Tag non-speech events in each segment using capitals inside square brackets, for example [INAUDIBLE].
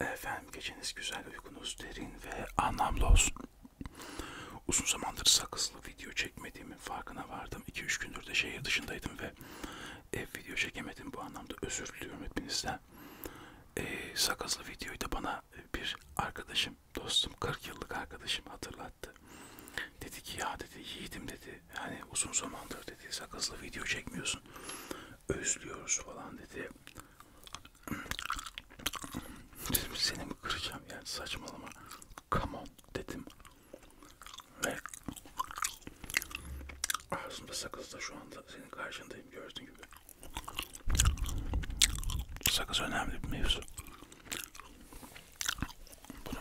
Efendim geceniz güzel, uykunuz derin ve anlamlı olsun. Uzun zamandır sakızlı video çekmediğimin farkına vardım. 2-3 gündür de şehir dışındaydım ve ev video çekemedim. Bu anlamda özür diliyorum hepinizden. Ee, sakızlı videoyu da bana bir arkadaşım, dostum, 40 yıllık arkadaşım hatırlattı. Dedi ki ya dedi yiğidim dedi. Hani uzun zamandır dedi sakızlı video çekmiyorsun özlüyoruz falan dedi. [CLEARS THROAT] Dedim seni mi kıracağım yani saçmalama. Come on dedim. Ve ağzımda sakızda şu anda senin karşındayım gördüğün gibi. Sakız önemli bir mevzu. Bunu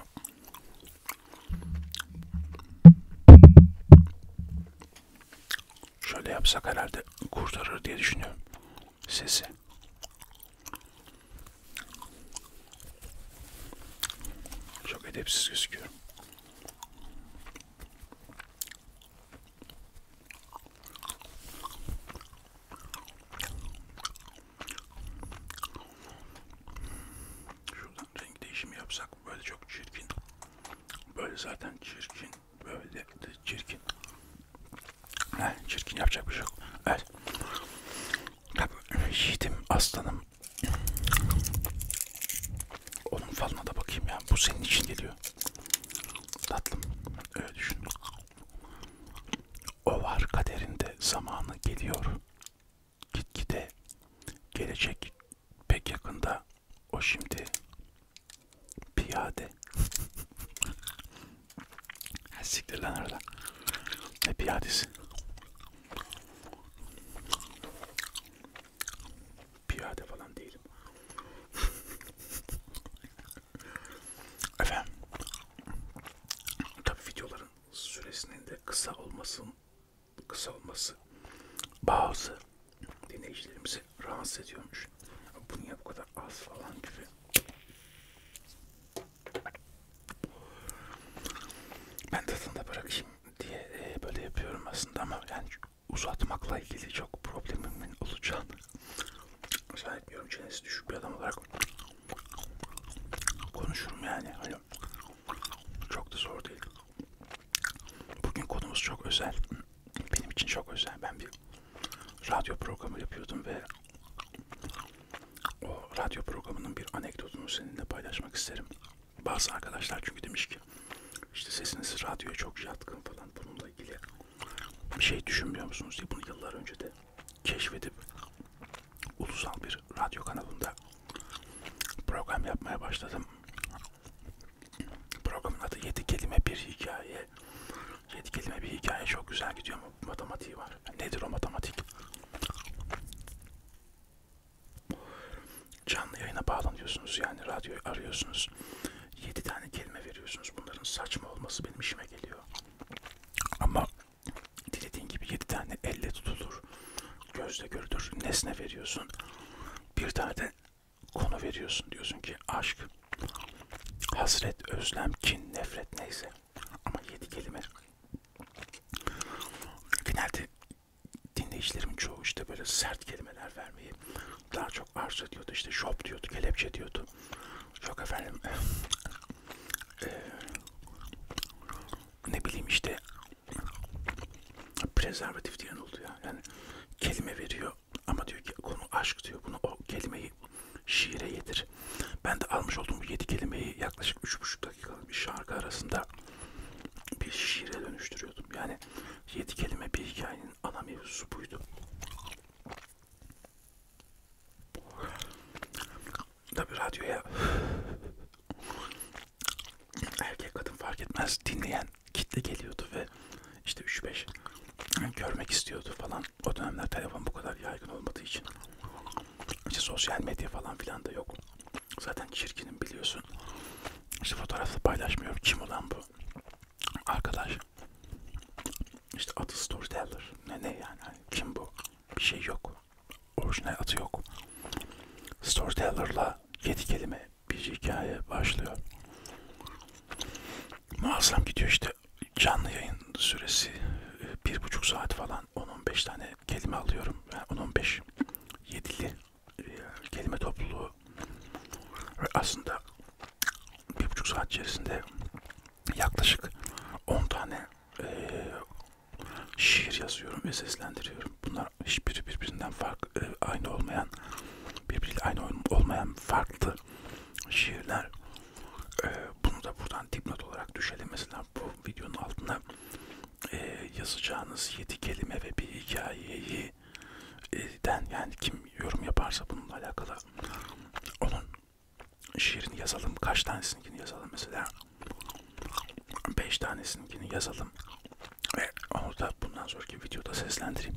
Şöyle yapsak herhalde kurtarır diye düşünüyorum sesi. Çok edepsiz gözüküyorum. Şurada renk değişimi yapsak böyle çok çirkin. Böyle zaten çirkin. Böyle de çirkin. Heh, çirkin yapacak bir şey yok. Evet. Tabii yiğidim aslanım. Onun falına da bakayım ya. Bu senin için geliyor. Tatlım. Öyle düşün. O var kaderinde zamanı geliyor. Gitgide gelecek pek yakında o şimdi piyade. [LAUGHS] Siktir lan orada. Ne piyadesi? Piyade falan değilim. Efendim. Tabi videoların süresinin de kısa olmasın kısalması bazı dinleyicilerimizi rahatsız ediyormuş. Bu niye bu kadar az falan gibi. Ben tadında bırakayım diye e, böyle yapıyorum aslında ama yani uzatmakla ilgili çok problemimin olacağını zannetmiyorum. Çenesi düşük bir adam olarak konuşurum yani. Hani çok da zor değil. Bugün konumuz çok özel. Benim için çok özel. Ben bir radyo programı yapıyordum ve o radyo programının bir anekdotunu seninle paylaşmak isterim. Bazı arkadaşlar çünkü demiş ki işte sesiniz radyoya çok yatkın falan bununla ilgili bir şey düşünmüyor musunuz diye bunu yıllar önce de keşfedip ulusal bir radyo kanalında program yapmaya başladım. Programın adı 7 kelime bir hikaye. 7 kelime bir hikaye çok güzel gidiyor ama matematiği var. Nedir o matematik? Canlı yayına bağlanıyorsunuz yani radyoyu arıyorsunuz. 7 tane kelime veriyorsunuz. Bunların saçma olması benim işime geliyor. Ama dilediğin gibi 7 tane elle tutulur. Gözle görülür. Nesne veriyorsun. Bir tane de konu veriyorsun. Diyorsun ki aşk, hasret, özlem, kin, nefret neyse. Ama yedi kelime. Genelde dinleyicilerim çoğu işte böyle sert kelimeler vermeyi daha çok arz ediyordu. İşte şop diyordu, kelepçe diyordu. Yok efendim. E, ne bileyim işte prezervatif diyen oldu ya. Yani kelime veriyor ama diyor ki konu aşk diyor. Bunu o kelimeyi şiire yedir. Ben de almış olduğum bu 7 kelimeyi yaklaşık 3,5 dakikalık bir şarkı arasında bir şiire dönüştürüyordum. Yani 7 kelime bir hikayenin ana mevzusu buydu. Tabi radyoya erkek kadın fark etmez dinleyen kitle geliyordu ve işte 3-5 görmek istiyordu falan. O dönemler telefon bu kadar yaygın olmadığı için işte sosyal medya falan filan da yok. Zaten çirkinim biliyorsun. İşte fotoğrafı paylaşmıyorum. Kim olan bu? Arkadaş. İşte adı storyteller. Ne ne yani? Hani kim bu? Bir şey yok. Orijinal adı yok. Storyteller'la Sonra yedi kelime bir hikaye başlıyor. Muazzam gidiyor işte canlı yayın süresi e, bir buçuk saat falan 10-15 tane kelime alıyorum. Yani 10-15 yedili e, kelime topluluğu ve aslında bir buçuk saat içerisinde yaklaşık 10 tane e, şiir yazıyorum ve seslendiriyorum. Bunlar hiçbiri birbirinden farklı, e, aynı olmayan, birbiriyle aynı olmayan farklı şiirler. E, bunu da buradan dipnot olarak düşelim. Mesela bu videonun altına e, yazacağınız 7 kelime ve bir hikayeyi den yani kim yorum yaparsa bununla alakalı onun şiirini yazalım. Kaç tanesini yazalım mesela. 5 tanesini yazalım ve onu da bundan sonraki videoda seslendireyim.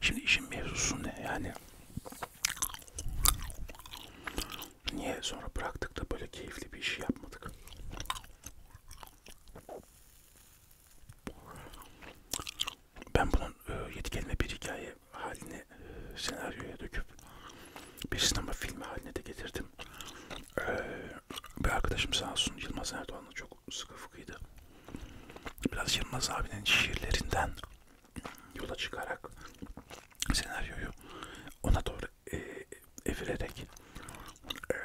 Şimdi işin mevzusu ne yani? Niye sonra bıraktık da böyle keyifli bir iş yapmadık? Ben bunun e, yetkenle bir hikaye haline e, senaryoya döküp bir sinema filmi haline de getirdim. Ee, bir arkadaşım sağ olsun Yılmaz Erdoğan'la çok sıkı fıkıydı. Biraz Yılmaz abinin şiirlerinden yola çıkarak senaryoyu ona doğru e, evirerek e,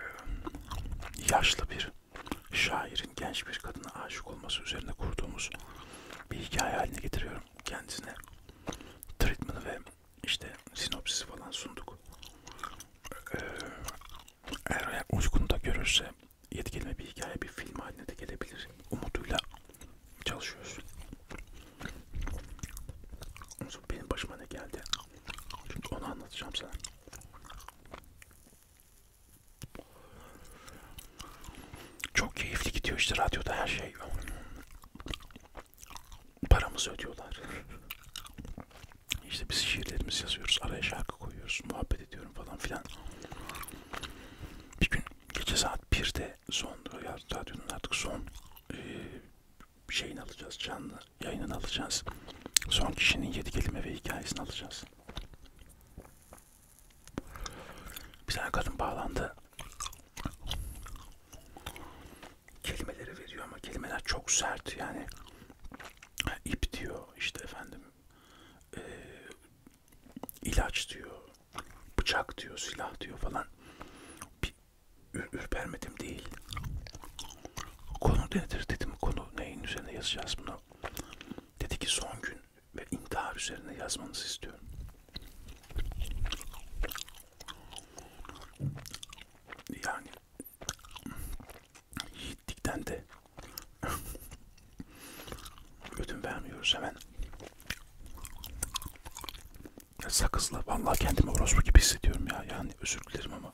yaşlı bir şairin genç bir kadına aşık olması üzerine kurduğumuz bir hikaye haline getiriyorum kendisine. Treatment'ı ve işte sinopsisi falan sunduk. Ee, eğer uygun da görürse yetkilime bir hikaye bir film haline de gelebilir. Umuduyla çalışıyoruz. Sonra benim başıma ne geldi? Şimdi onu anlatacağım sana. Çok keyifli gidiyor işte radyoda her şey. Paramızı ödüyorlar. İşte biz şiirlerimizi yazıyoruz, araya şarkı koyuyoruz, muhabbet ediyorum falan filan. Bir gün gece saat 1'de son, radyonun artık son e, şeyini alacağız, canlı yayınını alacağız. Son kişinin yedi kelime ve hikayesini alacağız. Bir tane kadın bağlandı kelimeleri veriyor ama kelimeler çok sert yani ip diyor işte efendim e, ilaç diyor bıçak diyor silah diyor falan bir ürpermedim değil konu nedir dedim konu neyin üzerine yazacağız bunu dedi ki son gün ve intihar üzerine yazmanızı istiyorum yani yiğitlikten de ödün vermiyoruz hemen. Ya sakızla vallahi kendimi orospu gibi hissediyorum ya. Yani özür dilerim ama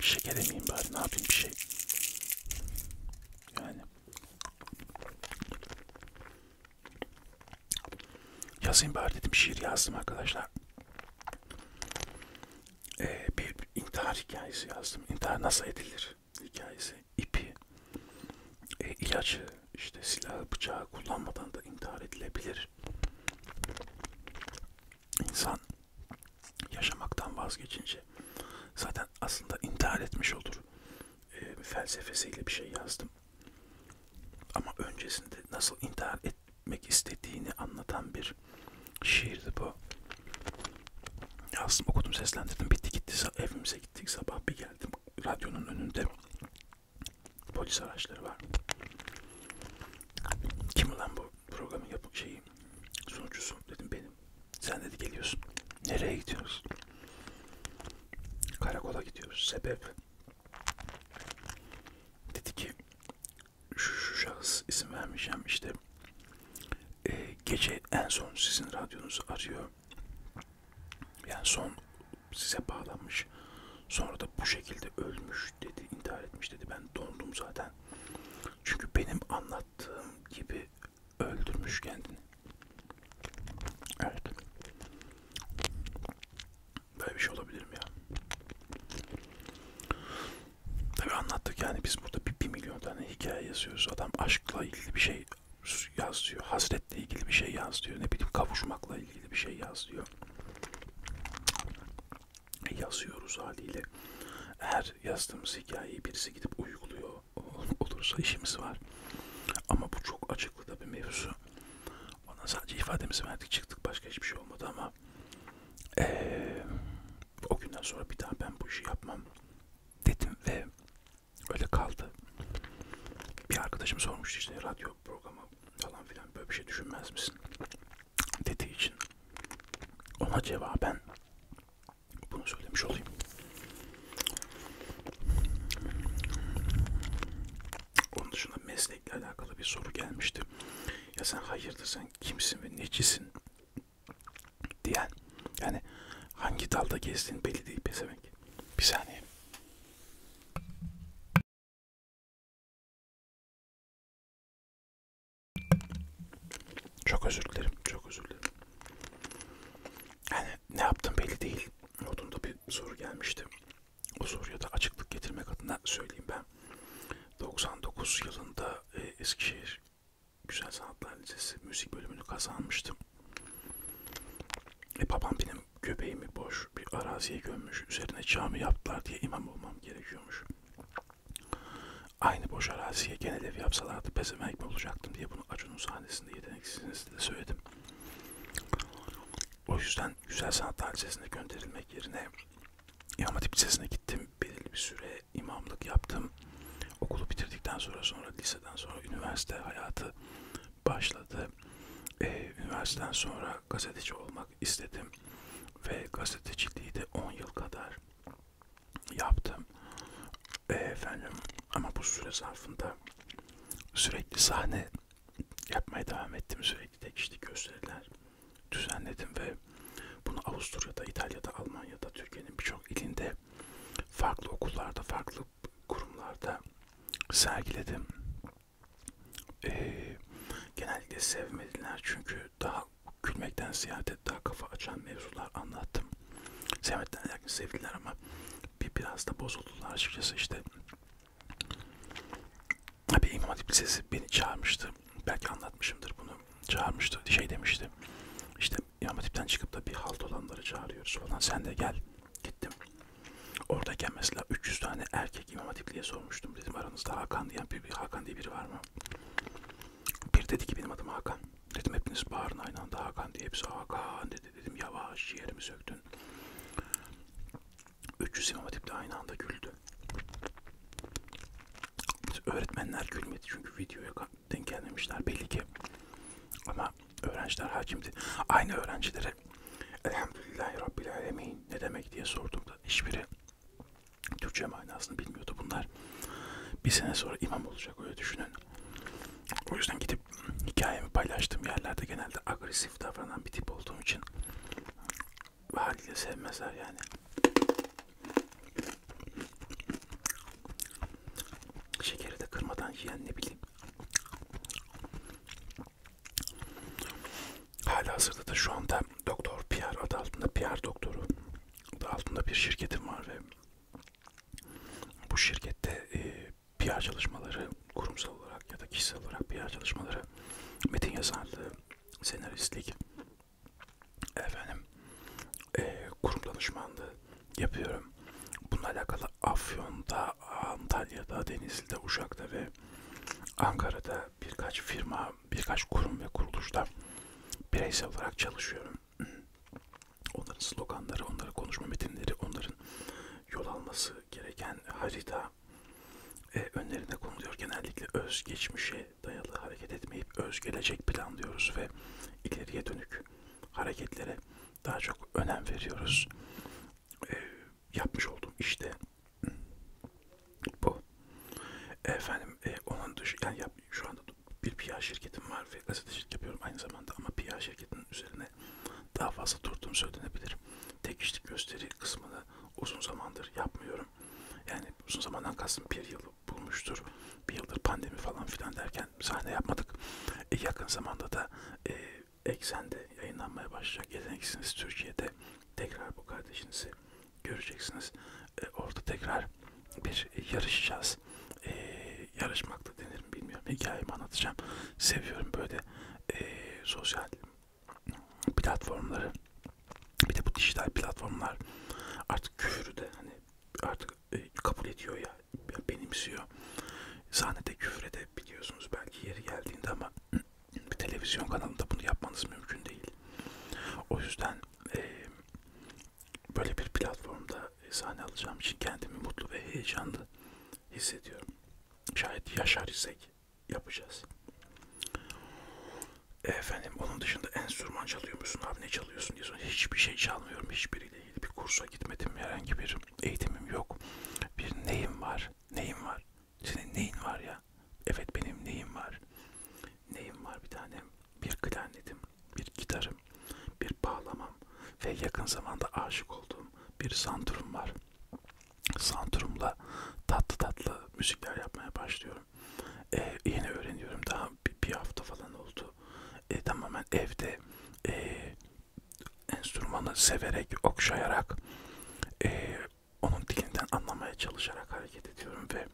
şeker emeyim bari ne yapayım bir şey. Yani yazayım bari dedim şiir yazdım arkadaşlar. Ee, bir intihar hikayesi yazdım. İntihar nasıl edilir hikayesi. İpi, e, ilacı, işte silahı, bıçağı kullanmadan da intihar edilebilir. İnsan yaşamaktan vazgeçince zaten aslında intihar etmiş olur. E, felsefesiyle bir şey yazdım. Ama öncesinde nasıl intihar et, etmek istediğini anlatan bir şiirdi bu. Aslında okudum seslendirdim bitti gitti evimize gittik sabah bir geldim radyonun önünde polis araçları var. Kim ulan bu programın yapım şeyi sunucusu dedim benim. Sen dedi geliyorsun. Nereye gidiyoruz? Karakola gidiyoruz. Sebep Dedi ki şu, şu şahıs isim vermeyeceğim işte e, gece en son sizin radyonuzu arıyor. Yani son size bağlanmış. Sonra da bu şekilde ölmüş dedi, intihar etmiş dedi. Ben dondum zaten. Çünkü benim anlattığım gibi öldürmüş kendini. Evet. Böyle bir şey olabilir mi ya? Tabi anlattık yani biz burada bir, bir milyon tane hikaye yazıyoruz. Adam aşkla ilgili bir şey yaz diyor. Hasretle ilgili bir şey yaz diyor. Ne bileyim kavuşmakla ilgili bir şey yaz diyor. Yazıyoruz haliyle. Eğer yazdığımız hikayeyi birisi gidip uyguluyor olursa işimiz var. Ama bu çok açıklı da bir mevzu. Ondan sadece ifademizi verdik çıktık başka hiçbir şey olmadı ama ee, o günden sonra bir daha ben bu işi yapmam dedim ve öyle kaldı. Bir arkadaşım sormuştu işte radyo programı falan filan böyle bir şey düşünmez misin dediği için ona cevaben bunu söylemiş olayım. Onun dışında meslekle alakalı bir soru gelmişti. Ya sen hayırdır sen kimsin ve necisin diyen. Yani hangi dalda gezdiğin belli değil pezevenk. Bir saniye. Çok özür dilerim. Çok özür dilerim. Yani ne yaptım belli değil. Notunda bir soru gelmişti o soruya da açıklık getirmek adına söyleyeyim ben. 99 yılında e, Eskişehir Güzel Sanatlar Lisesi müzik bölümünü kazanmıştım. E, babam benim göbeğimi boş bir araziye gömmüş. Üzerine cami yaptılar diye imam olmam gerekiyormuş. Aynı boş araziye genel ev yapsalardı pezevenk mi olacaktım diye bunu Acun'un sahnesinde yeteneksizsiniz de söyledim. O yüzden Güzel Sanatlar Lisesi'ne gönderilmek yerine İmam Hatip Lisesi'ne gittim. Belirli bir süre imamlık yaptım. Okulu bitirdikten sonra sonra liseden sonra üniversite hayatı başladı. Ee, üniversiteden sonra gazeteci olmak istedim ve gazeteciliği de 10 yıl kadar yaptım. Ee, efendim ama bu süre zarfında sürekli sahne yapmaya devam ettim. Sürekli tek işte gösteriler düzenledim ve bunu Avusturya'da, İtalya'da, Almanya'da, Türkiye'nin birçok ilinde farklı okullarda, farklı kurumlarda sergiledim. Ee, genellikle sevmediler çünkü daha gülmekten ziyade daha kafa açan mevzular anlattım. Sevmediler, sevdiler ama bir biraz da bozuldular açıkçası işte bir İmam Hatip Lisesi beni çağırmıştı. Belki anlatmışımdır bunu. Çağırmıştı. Şey demişti. İşte İmam Hatip'ten çıkıp da bir halt olanları çağırıyoruz falan. Sen de gel. Gittim. Oradayken mesela 300 tane erkek İmam Hatipli'ye sormuştum. Dedim aranızda Hakan diyen bir, bir Hakan diye biri var mı? Bir dedi ki benim adım Hakan. Dedim hepiniz bağırın aynı anda Hakan diye. Hepsi Hakan dedi. Dedim yavaş yerimi söktün. 300 İmam Hatip'te aynı anda güldü. Öğretmenler gülmedi çünkü videoya denk gelmemişler belli ki. Ama öğrenciler hakimdi. Aynı öğrencilere Elhamdülillahi Rabbil Alemin ne demek diye sorduğumda hiçbiri Türkçe manasını bilmiyordu. Bunlar bir sene sonra imam olacak öyle düşünün. O yüzden gidip hikayemi paylaştığım yerlerde genelde agresif agresif davranan bir tip olduğum için haliyle sevmezler yani. Şekeri de kırmadan yiyen ne bileyim. Hala hazırda da şu anda Doktor PR adı altında PR doktoru adı altında bir şirketim var ve bu şirkette e, PR çalışmaları, kurumsal olarak ya da kişisel olarak PR çalışmaları, metin yazarlığı, senaristlik, efendim, e, kurum danışmanlığı yapıyorum. Bununla alakalı Afyon'da, Antalya'da, Denizli'de, Uşak'ta ve Ankara'da birkaç firma, birkaç kurum ve kuruluşta bireysel olarak çalışıyorum. Onların sloganları, onların konuşma metinleri, onların yol alması gereken harita, da e, önlerine konuluyor. Genellikle özgeçmişe dayalı hareket etmeyip özgelecek plan diyoruz ve ileriye dönük hareketlere daha çok önem veriyoruz. E, yapmış olduğum işte bu. Efendim e, onun dışı yani yap, şu anda bir PR şirketim var ve gazetecilik yapıyorum aynı zamanda ama PR şirketinin üzerine üzerine daha fazla durduğum söylenebilir. Tek kişilik gösteri kısmını uzun zamandır yapmıyorum. Yani uzun zamandan kastım bir yıl bulmuştur. Bir yıldır pandemi falan filan derken sahne yapmadık. E, yakın zamanda da e, Eksen'de yayınlanmaya başlayacak. Yeteneksiniz Türkiye'de tekrar bu kardeşinizi göreceksiniz. E, orada tekrar bir e, yarışacağız. E, yarışmakta denir mi bilmiyorum. Hikayemi anlatacağım. Seviyorum böyle işte e, sosyal platformları bir de bu dijital platformlar artık küfürü de hani artık e, kabul ediyor ya benimsiyor. Sahnede küfür edebiliyorsunuz belki yeri geldiğinde ama [CLEARS THROAT] bir televizyon kanalında bunu yapmanız mümkün değil. O yüzden e, böyle bir platformda sahne alacağım için kendimi mutlu ve heyecanlı hissediyorum. Şayet yaşar isek yapacağız. E efendim onun dışında enstrüman çalıyor musun abi ne çalıyorsun diye soruyor. Hiçbir şey çalmıyorum hiçbiriyle ilgili bir kursa gitmedim herhangi bir eğitimim yok. Bir neyim var neyim var senin neyin var ya evet benim neyim var neyim var bir tanem bir klarnetim bir gitarım bir bağlamam ve yakın zamanda aşık olduğum bir santurum var santurumla tatlı tatlı müzikler yapmaya başlıyorum. Ee, yeni öğreniyorum daha bir, bir hafta falan oldu. Ee, tamamen evde e, enstrümanı severek, okşayarak, e, onun dilinden anlamaya çalışarak hareket ediyorum ve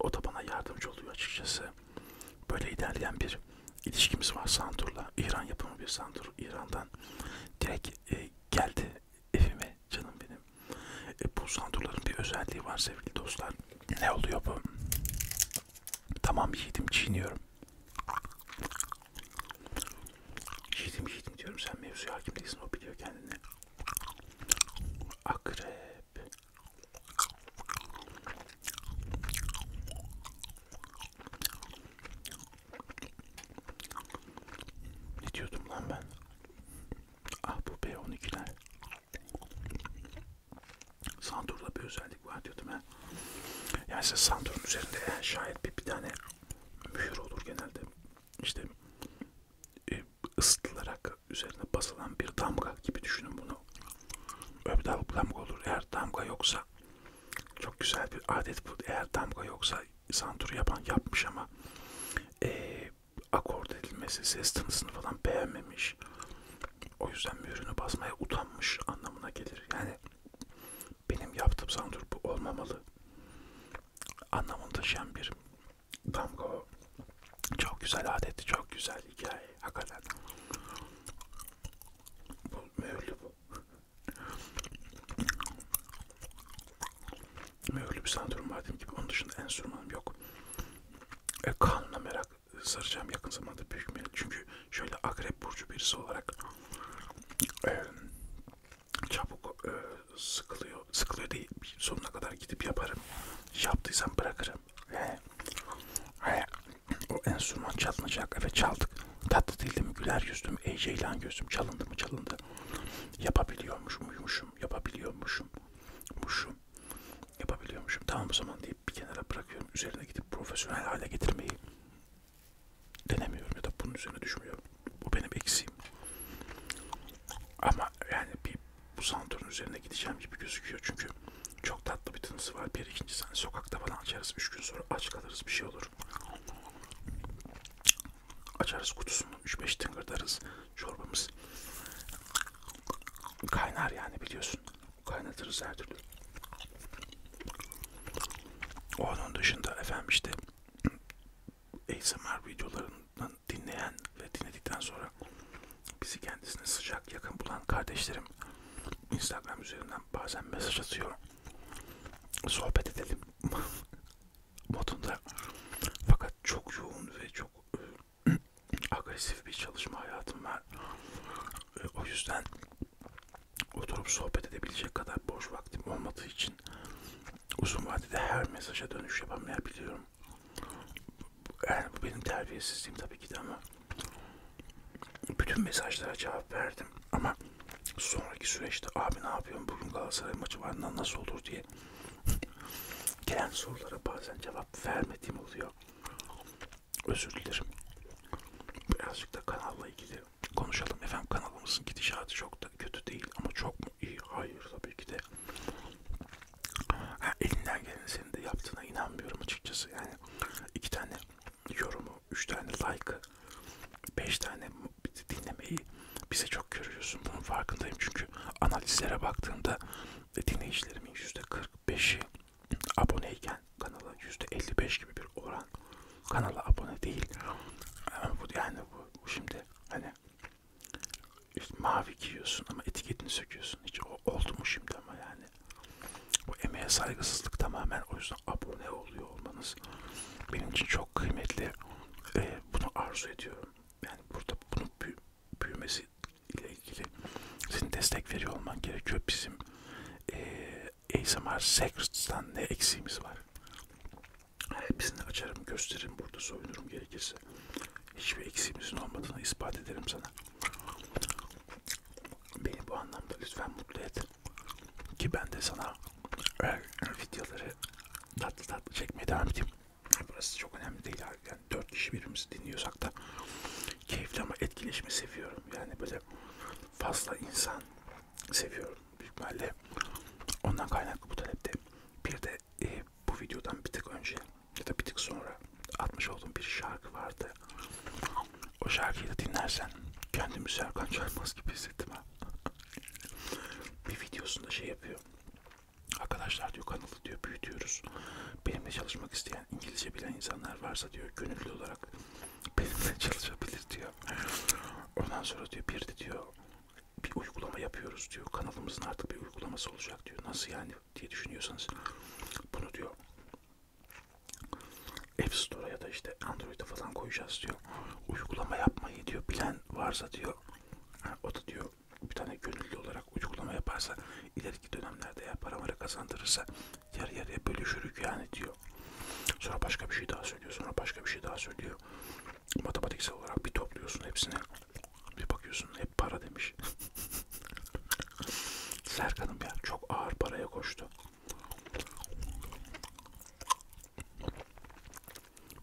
o da bana yardımcı oluyor açıkçası. Böyle ilerleyen bir ilişkimiz var Santur'la. İran yapımı bir Santur. İran'dan direkt e, geldi evime canım benim. E, bu sandurların bir özelliği var sevgili dostlar. Ne oluyor bu? Tamam yedim çiğniyorum. Yedim yedim diyorum sen mevzuya hakim değilsin o biliyor kendini. Akrep. Ne diyordum lan ben? Ah bu B12'ler. Santur'da bir özellik var diyordum ha. Yani size Santur'un üzerinde şayet bir, bir tane mühür olur genelde. İşte e, ısıtılarak üzerine basılan bir damga gibi düşünün bunu. Öyle bir damga olur. Eğer damga yoksa çok güzel bir adet bu. Eğer damga yoksa santur yapan yapmış ama e, akord edilmesi, ses tınısını falan beğenmemiş. O yüzden mührünü basmaya utanmış anlamına gelir. Yani benim yaptığım santur bu olmamalı. Anlamını taşıyan bir damga o. Çok güzel adetti, çok güzel hikaye. Hakikaten. Bu mühürlü bu. Öyle bir sanatörüm var dediğim gibi. Onun dışında enstrümanım yok. E, kanuna merak saracağım yakın zamanda büyük merak. Çünkü şöyle akrep burcu birisi olarak e, çabuk e, sıkılıyor. Sıkılıyor değil. Sonuna kadar gidip yaparım. Yaptıysam bırakırım. E, e, o enstrüman çalınacak. Evet çaldık. Tatlı değildi mi? Güler yüzlüm, eceylan gözüm. Çalındı mı? Çalındı. Yapabiliyormuşum, uyumuşum. Yapabiliyormuşum. Muşum. Yapabiliyormuşum. Tamam o zaman deyip bir kenara bırakıyorum. Üzerine gidip profesyonel hale getirmeyi denemiyorum ya da bunun üzerine düşmüyorum. Bu benim eksiğim. Ama yani bir bu santorun üzerine gideceğim gibi gözüküyor çünkü çok tatlı bir tınısı var. Bir ikincisi hani sokakta falan açarız. Üç gün sonra aç kalırız bir şey olur olur. Açarız kutusunu 3-5 tıngırdarız çorbamız. Kaynar yani biliyorsun. Kaynatırız her türlü. Onun dışında efendim işte ASMR videolarından dinleyen ve dinledikten sonra bizi kendisine sıcak yakın bulan kardeşlerim Instagram üzerinden bazen mesaj atıyor sohbet edelim [LAUGHS] modunda fakat çok yoğun ve çok ıı, [CLEARS THROAT] agresif bir çalışma hayatım var ee, o yüzden oturup sohbet edebilecek kadar boş vaktim olmadığı için uzun vadede her mesaja dönüş yapamayabiliyorum yani bu benim terbiyesizliğim tabii ki de ama bütün mesajlara cevap verdim ama sonraki süreçte abi ne yapıyorsun bugün Galatasaray maçı var nasıl olur diye [LAUGHS] gelen sorulara bazen cevap vermediğim oluyor. Özür dilerim. Birazcık da kanalla ilgili konuşalım. Efendim kanalımızın gidişatı çok da kötü değil ama çok mu iyi? Hayır tabii ki de. Ha, elinden gelen senin de yaptığına inanmıyorum açıkçası. Yani iki tane yorumu 3 tane like, 5 tane dinlemeyi bize çok görüyorsun. Bunun farkındayım çünkü analizlere baktığımda e, dinleyicilerimin %45'i aboneyken kanala %55 gibi bir oran kanala abone değil. Yani bu yani bu şimdi hani işte mavi giyiyorsun ama etiketini söküyorsun. Hiç oldu mu şimdi ama yani bu emeğe saygısızlık tamamen o yüzden abone oluyor olmanız benim için çok kıymetli. Ee, bunu arzu ediyorum. Yani burada bunun büy büyümesi ile ilgili sizin destek veriyor olman gerekiyor. Bizim e, ee, ASMR Secrets'tan ne eksiğimiz var? Hepsini açarım, gösteririm burada, soyunurum gerekirse. Hiçbir eksiğimizin olmadığını ispat ederim sana. Beni bu anlamda lütfen mutlu et. Ki ben de sana e, videoları tatlı tatlı çekmeye devam edeyim. Burası çok önemli değil. Yani dört kişi birbirimizi dinliyorsak da keyifli ama etkileşimi seviyorum. Yani böyle fazla insan seviyorum büyük ihtimalle. Ondan kaynaklı bu talepte. Bir de e, bu videodan bir tık önce ya da bir tık sonra atmış olduğum bir şarkı vardı geldi. O şarkıyı da dinlersen kendimi Serkan Çaymaz gibi hissettim ha. bir videosunda şey yapıyor. Arkadaşlar diyor kanalı diyor büyütüyoruz. Benimle çalışmak isteyen İngilizce bilen insanlar varsa diyor gönüllü olarak benimle [LAUGHS] çalışabilir diyor. Ondan sonra diyor bir de diyor bir uygulama yapıyoruz diyor. Kanalımızın artık bir uygulaması olacak diyor. Nasıl yani diye düşünüyorsanız bunu diyor App Store'a ya da işte Android'e falan koyacağız diyor. Uygulama yapmayı diyor bilen varsa diyor. O da diyor bir tane gönüllü olarak uygulama yaparsa ileriki dönemlerde ya para para kazandırırsa yarı yarıya bölüşürük yani diyor. Sonra başka bir şey daha söylüyor. Sonra başka bir şey daha söylüyor. Matematiksel olarak bir topluyorsun hepsini. Bir bakıyorsun hep para demiş. [LAUGHS] Serkan'ım ya çok ağır paraya koştu.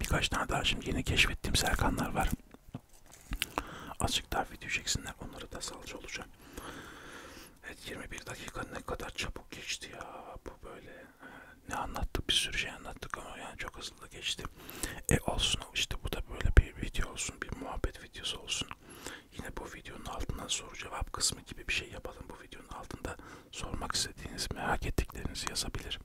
Birkaç tane daha şimdi yeni keşfettiğim Serkanlar var. Azıcık daha video çeksinler. Onları da salça olacağım. Evet 21 dakika ne kadar çabuk geçti ya. Bu böyle ee, ne anlattık bir sürü şey anlattık ama yani çok hızlı da geçti. E olsun işte bu da böyle bir video olsun bir muhabbet videosu olsun. Yine bu videonun altına soru cevap kısmı gibi bir şey yapalım. Bu videonun altında sormak istediğiniz, merak ettiklerinizi yazabilir.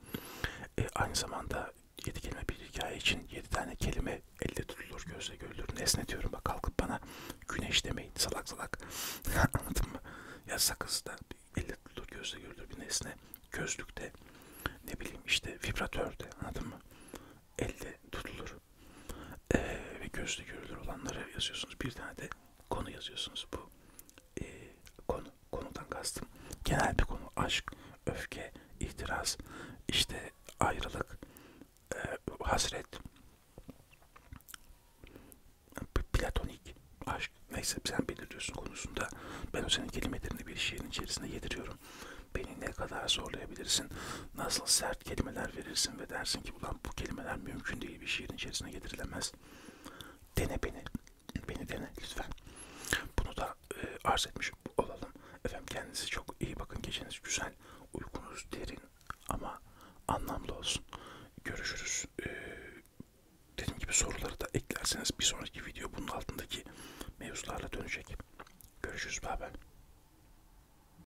E, aynı zamanda 7 kelime bir hikaye için 7 tane kelime elde tutulur, gözle görülür. Nesne diyorum bak kalkıp bana güneş demeyin salak salak. [LAUGHS] Anladın mı? Ya sakız da elde tutulur, gözle görülür bir nesne. Gözlükte ne bileyim işte vibratörde anladın mı? Elde tutulur e, ve gözle görülür olanları yazıyorsunuz. Bir tane de konu yazıyorsunuz. Bu e, konu, konudan kastım genel bir konu. Aşk, öfke, ihtiras, işte ayrılık, e, hasret, platonik aşk. Neyse sen belirliyorsun konusunda. Ben o senin kelimelerini bir şiirin içerisinde yediriyorum. Beni ne kadar zorlayabilirsin, nasıl sert benzer kelimeler verirsin ve dersin ki ulan bu kelimeler mümkün değil bir şiirin içerisine getirilemez. Dene beni. Beni dene lütfen. Bunu da e, arz etmiş olalım. Efendim kendinize çok iyi bakın. Geceniz güzel. Uykunuz derin ama anlamlı olsun. Görüşürüz. E, dediğim gibi soruları da eklerseniz bir sonraki video bunun altındaki mevzularla dönecek. Görüşürüz. Bye bye.